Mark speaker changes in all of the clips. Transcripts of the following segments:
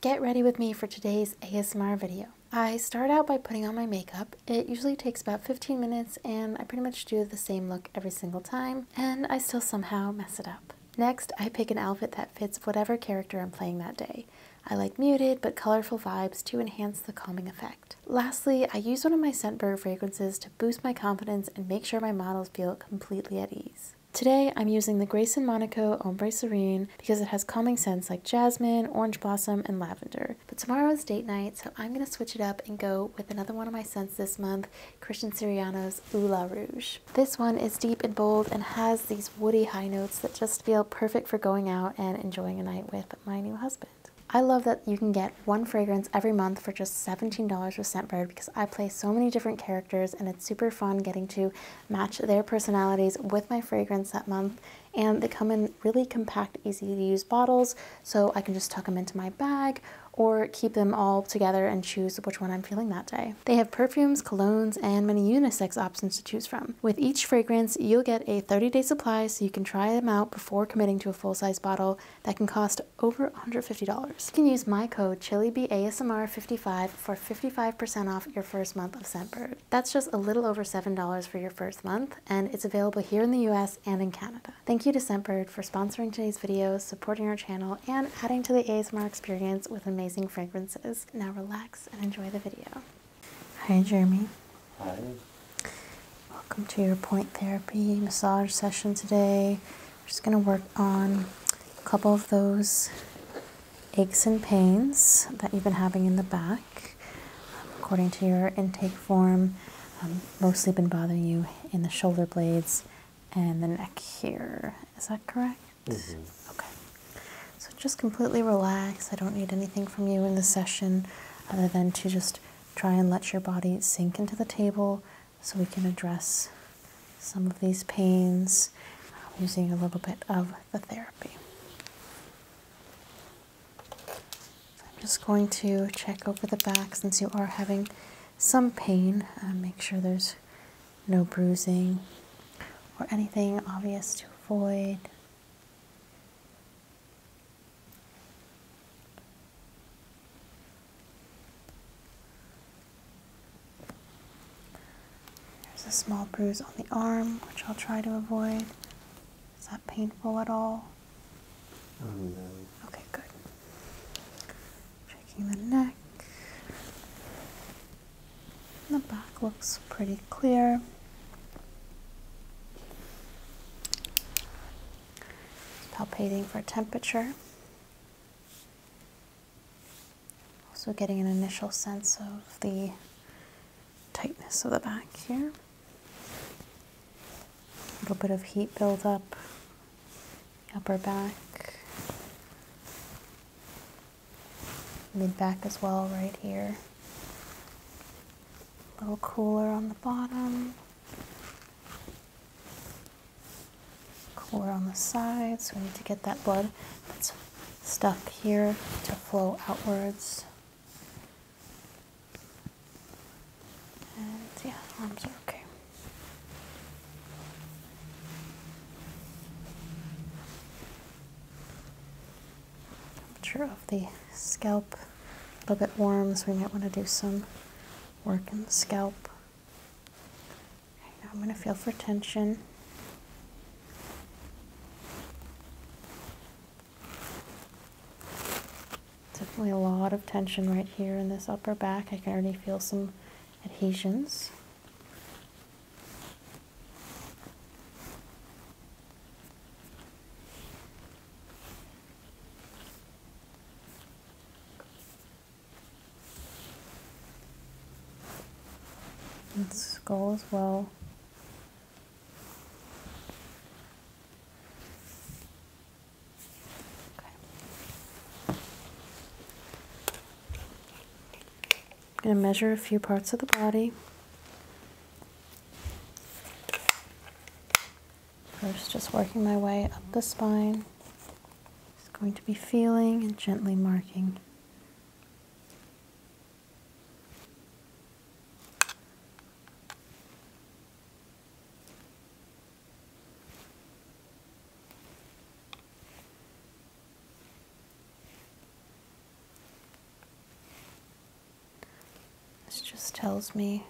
Speaker 1: Get ready with me for today's ASMR video. I start out by putting on my makeup. It usually takes about 15 minutes and I pretty much do the same look every single time and I still somehow mess it up. Next, I pick an outfit that fits whatever character I'm playing that day. I like muted but colorful vibes to enhance the calming effect. Lastly, I use one of my Scent Scentbird fragrances to boost my confidence and make sure my models feel completely at ease. Today, I'm using the Grayson Monaco Ombre Serene because it has calming scents like jasmine, orange blossom, and lavender. But tomorrow is date night, so I'm going to switch it up and go with another one of my scents this month, Christian Siriano's Oula Rouge. This one is deep and bold and has these woody high notes that just feel perfect for going out and enjoying a night with my new husband. I love that you can get one fragrance every month for just $17 with Scentbird because I play so many different characters and it's super fun getting to match their personalities with my fragrance that month. And they come in really compact, easy to use bottles, so I can just tuck them into my bag or keep them all together and choose which one I'm feeling that day. They have perfumes, colognes, and many unisex options to choose from. With each fragrance, you'll get a 30-day supply so you can try them out before committing to a full-size bottle that can cost over $150. You can use my code ChiliBASMR55 for 55% off your first month of Scentbird. That's just a little over $7 for your first month, and it's available here in the US and in Canada. Thank you to Scentbird for sponsoring today's video, supporting our channel, and adding to the ASMR experience with amazing fragrances. Now relax and enjoy the video. Hi, Jeremy. Hi. Welcome to your point therapy massage session today. We're just going to work on a couple of those aches and pains that you've been having in the back. Um, according to your intake form, um, mostly been bothering you in the shoulder blades and the neck here. Is that correct? Mm -hmm. Okay. So just completely relax. I don't need anything from you in the session other than to just Try and let your body sink into the table so we can address some of these pains uh, using a little bit of the therapy. I'm just going to check over the back since you are having some pain. Uh, make sure there's no bruising or anything obvious to avoid. There's a small bruise on the arm, which I'll try to avoid. Is that painful at all? Oh no. Okay, good. Checking the neck. The back looks pretty clear. Palpating for temperature. Also getting an initial sense of the tightness of the back here. A little bit of heat buildup, upper back, mid back as well, right here. A little cooler on the bottom. Core on the side, So we need to get that blood that's stuck here to flow outwards. And yeah, arms are okay. Temperature of the scalp a little bit warm, so we might want to do some work in the scalp. now I'm going to feel for tension. Definitely a lot of tension right here in this upper back. I can already feel some adhesions and skull as well. Okay. I'm going to measure a few parts of the body. First, just working my way up the spine. Just going to be feeling and gently marking. This just tells me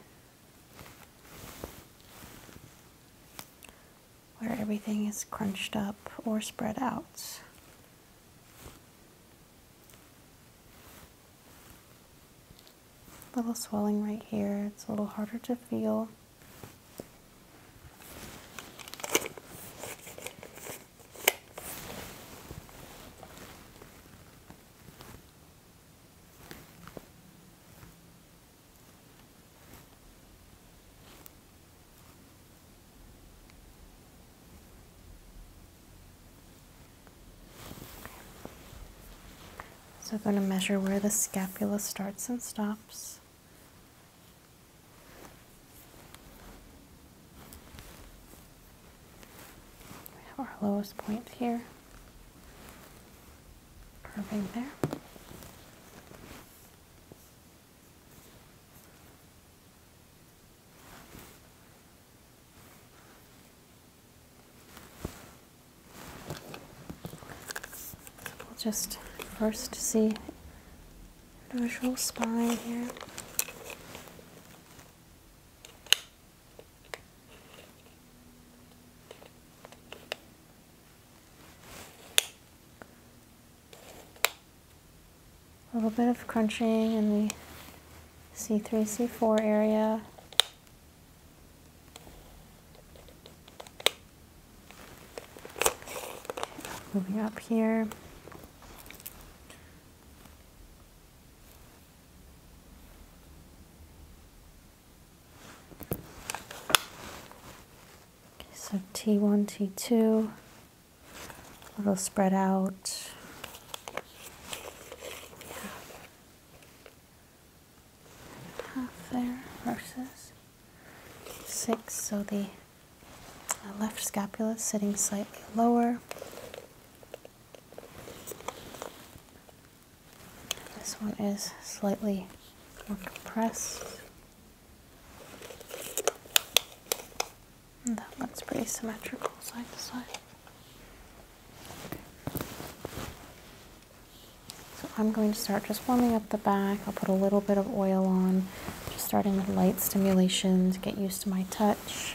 Speaker 1: where everything is crunched up or spread out. Little swelling right here, it's a little harder to feel. So I'm going to measure where the scapula starts and stops. We have our lowest point here, curving there. We'll just first see individual spine here. A little bit of crunching in the C3, C4 area. Moving up here so T1, T2, a little spread out. Half there versus six, so the uh, left scapula sitting slightly lower. This one is slightly more compressed. And that looks pretty symmetrical side to side. So I'm going to start just warming up the back. I'll put a little bit of oil on, just starting with light stimulation to get used to my touch.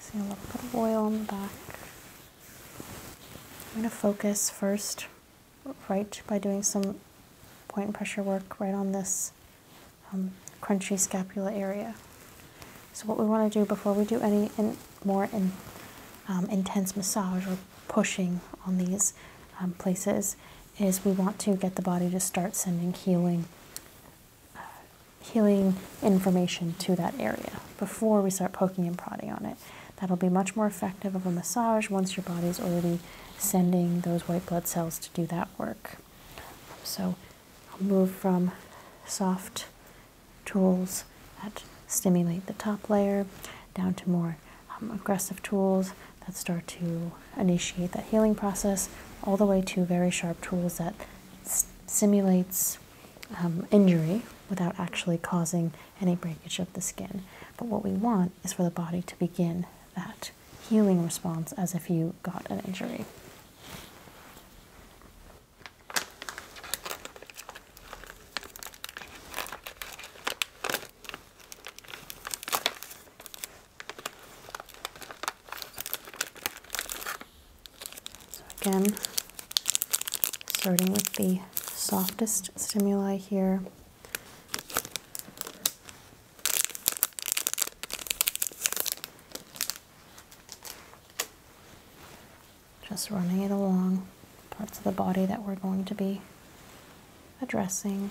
Speaker 1: See a little oil on the back. I'm going to focus first right by doing some point and pressure work right on this um, crunchy scapula area. So what we want to do before we do any more um, intense massage or pushing on these um, places is we want to get the body to start sending healing uh, healing information to that area before we start poking and prodding on it. That'll be much more effective of a massage once your body's already sending those white blood cells to do that work. So I'll move from soft tools that stimulate the top layer down to more um, aggressive tools that start to initiate that healing process, all the way to very sharp tools that simulates um, injury without actually causing any breakage of the skin. But what we want is for the body to begin that healing response as if you got an injury. So again, starting with the softest stimuli here. Just running it along parts of the body that we're going to be addressing.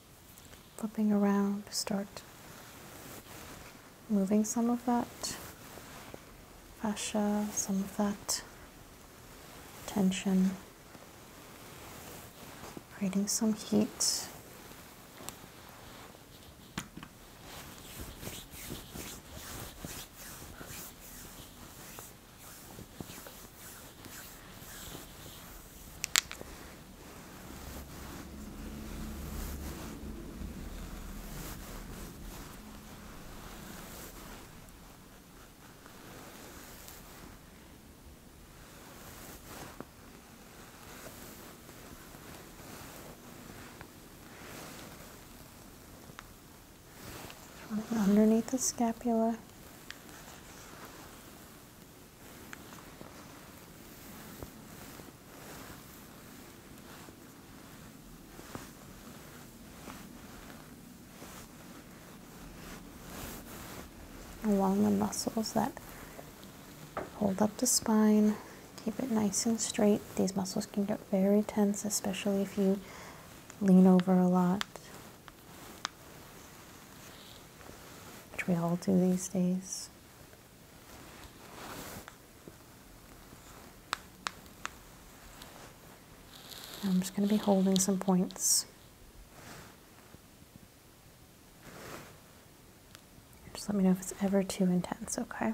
Speaker 1: flipping around, start moving some of that fascia, some of that tension, creating some heat. Underneath the scapula, along the muscles that hold up the spine, keep it nice and straight. These muscles can get very tense, especially if you lean over a lot which we all do these days. I'm just going to be holding some points. Just let me know if it's ever too intense, okay?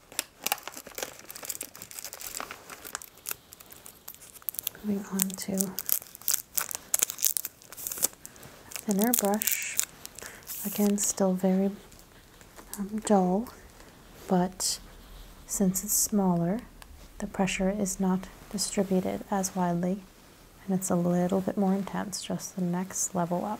Speaker 1: Moving on to thinner brush. Again, still very um, dull, but since it's smaller, the pressure is not distributed as widely and it's a little bit more intense, just the next level up.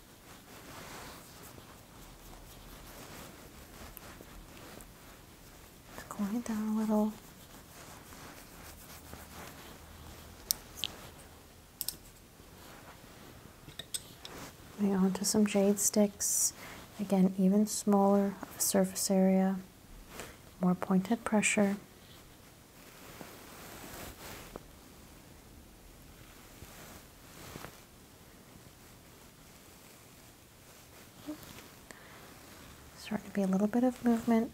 Speaker 1: Go going down a little. Moving on some jade sticks. Again, even smaller surface area, more pointed pressure. Starting to be a little bit of movement.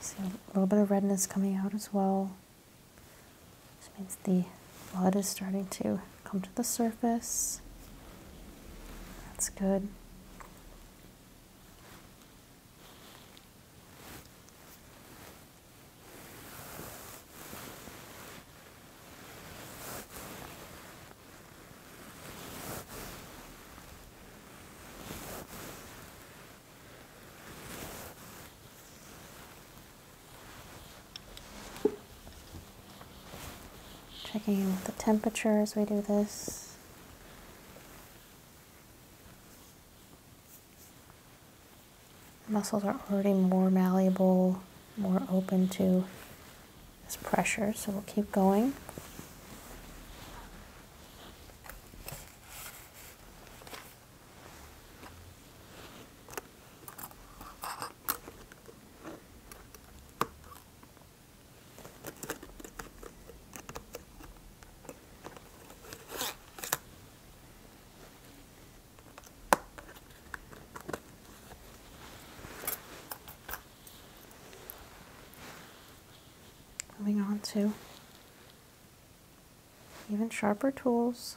Speaker 1: So a little bit of redness coming out as well. This means the blood is starting to come to the surface. That's good. Checking the temperature as we do this. Muscles are already more malleable, more open to this pressure, so we'll keep going. Moving on to even sharper tools.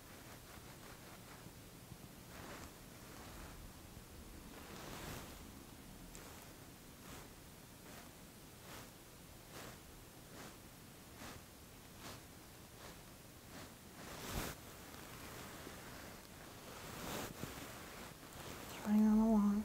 Speaker 1: It's running on the lawn.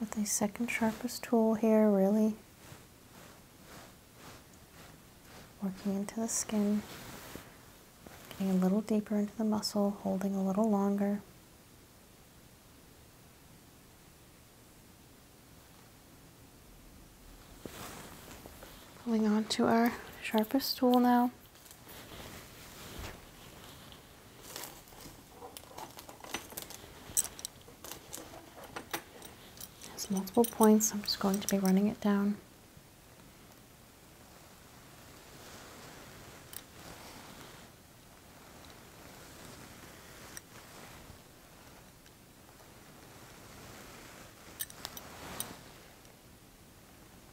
Speaker 1: with the second sharpest tool here, really working into the skin, getting a little deeper into the muscle, holding a little longer. Pulling on to our sharpest tool now. There's multiple points, I'm just going to be running it down.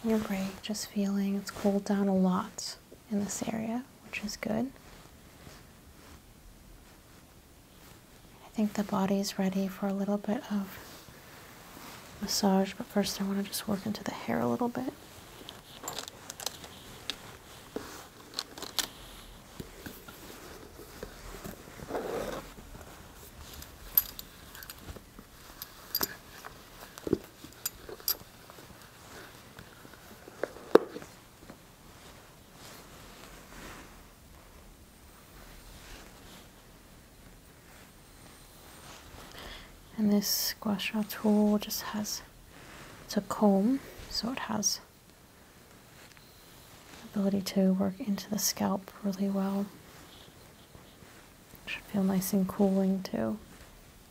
Speaker 1: Taking your break, just feeling it's cooled down a lot in this area, which is good. I think the body is ready for a little bit of massage, but first I want to just work into the hair a little bit and this squash tool just has a comb so it has ability to work into the scalp really well should feel nice and cooling too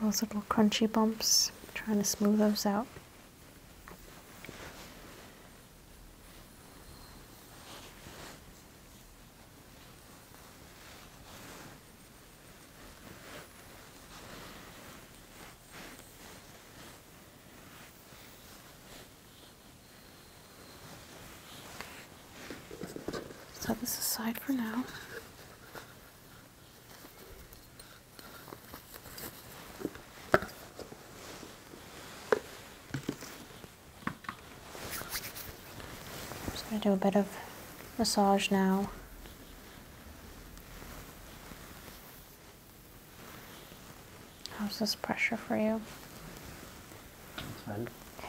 Speaker 1: Those little crunchy bumps, trying to smooth those out. Set this aside for now just going to do a bit of massage now. How's this pressure for you? That's fine. Okay.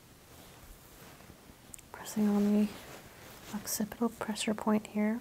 Speaker 1: Pressing on the occipital pressure point here.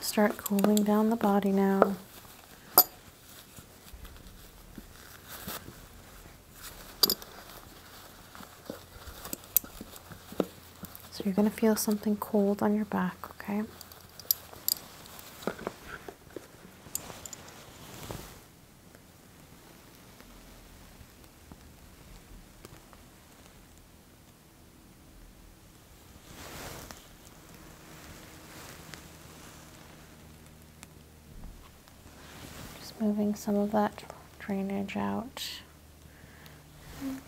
Speaker 1: Start cooling down the body now. So you're going to feel something cold on your back, okay? Just moving some of that drainage out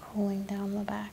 Speaker 1: pulling down the back.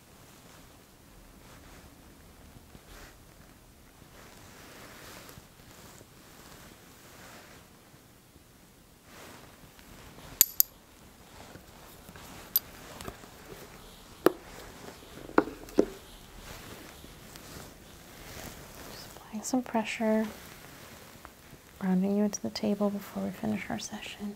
Speaker 1: Just applying some pressure, rounding you into the table before we finish our session.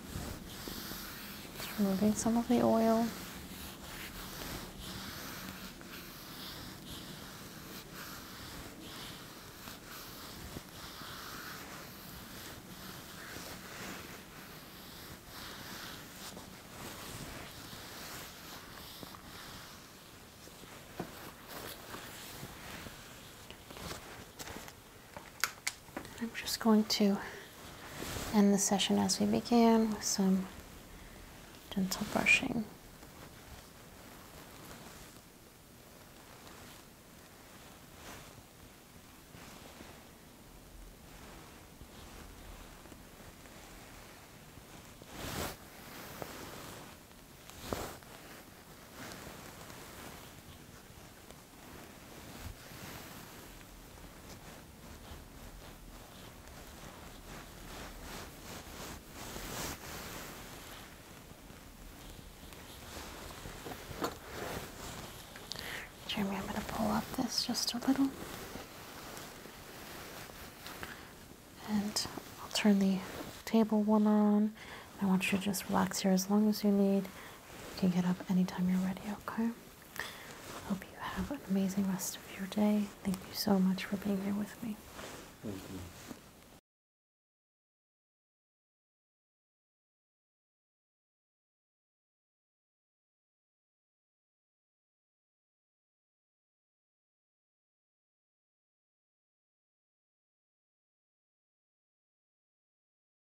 Speaker 1: removing some of the oil. I'm just going to end the session as we began with some gentle brushing. Jeremy, I'm going to pull up this just a little. And I'll turn the table warmer on. I want you to just relax here as long as you need. You can get up anytime you're ready, okay? Hope you have an amazing rest of your day. Thank you so much for being here with me.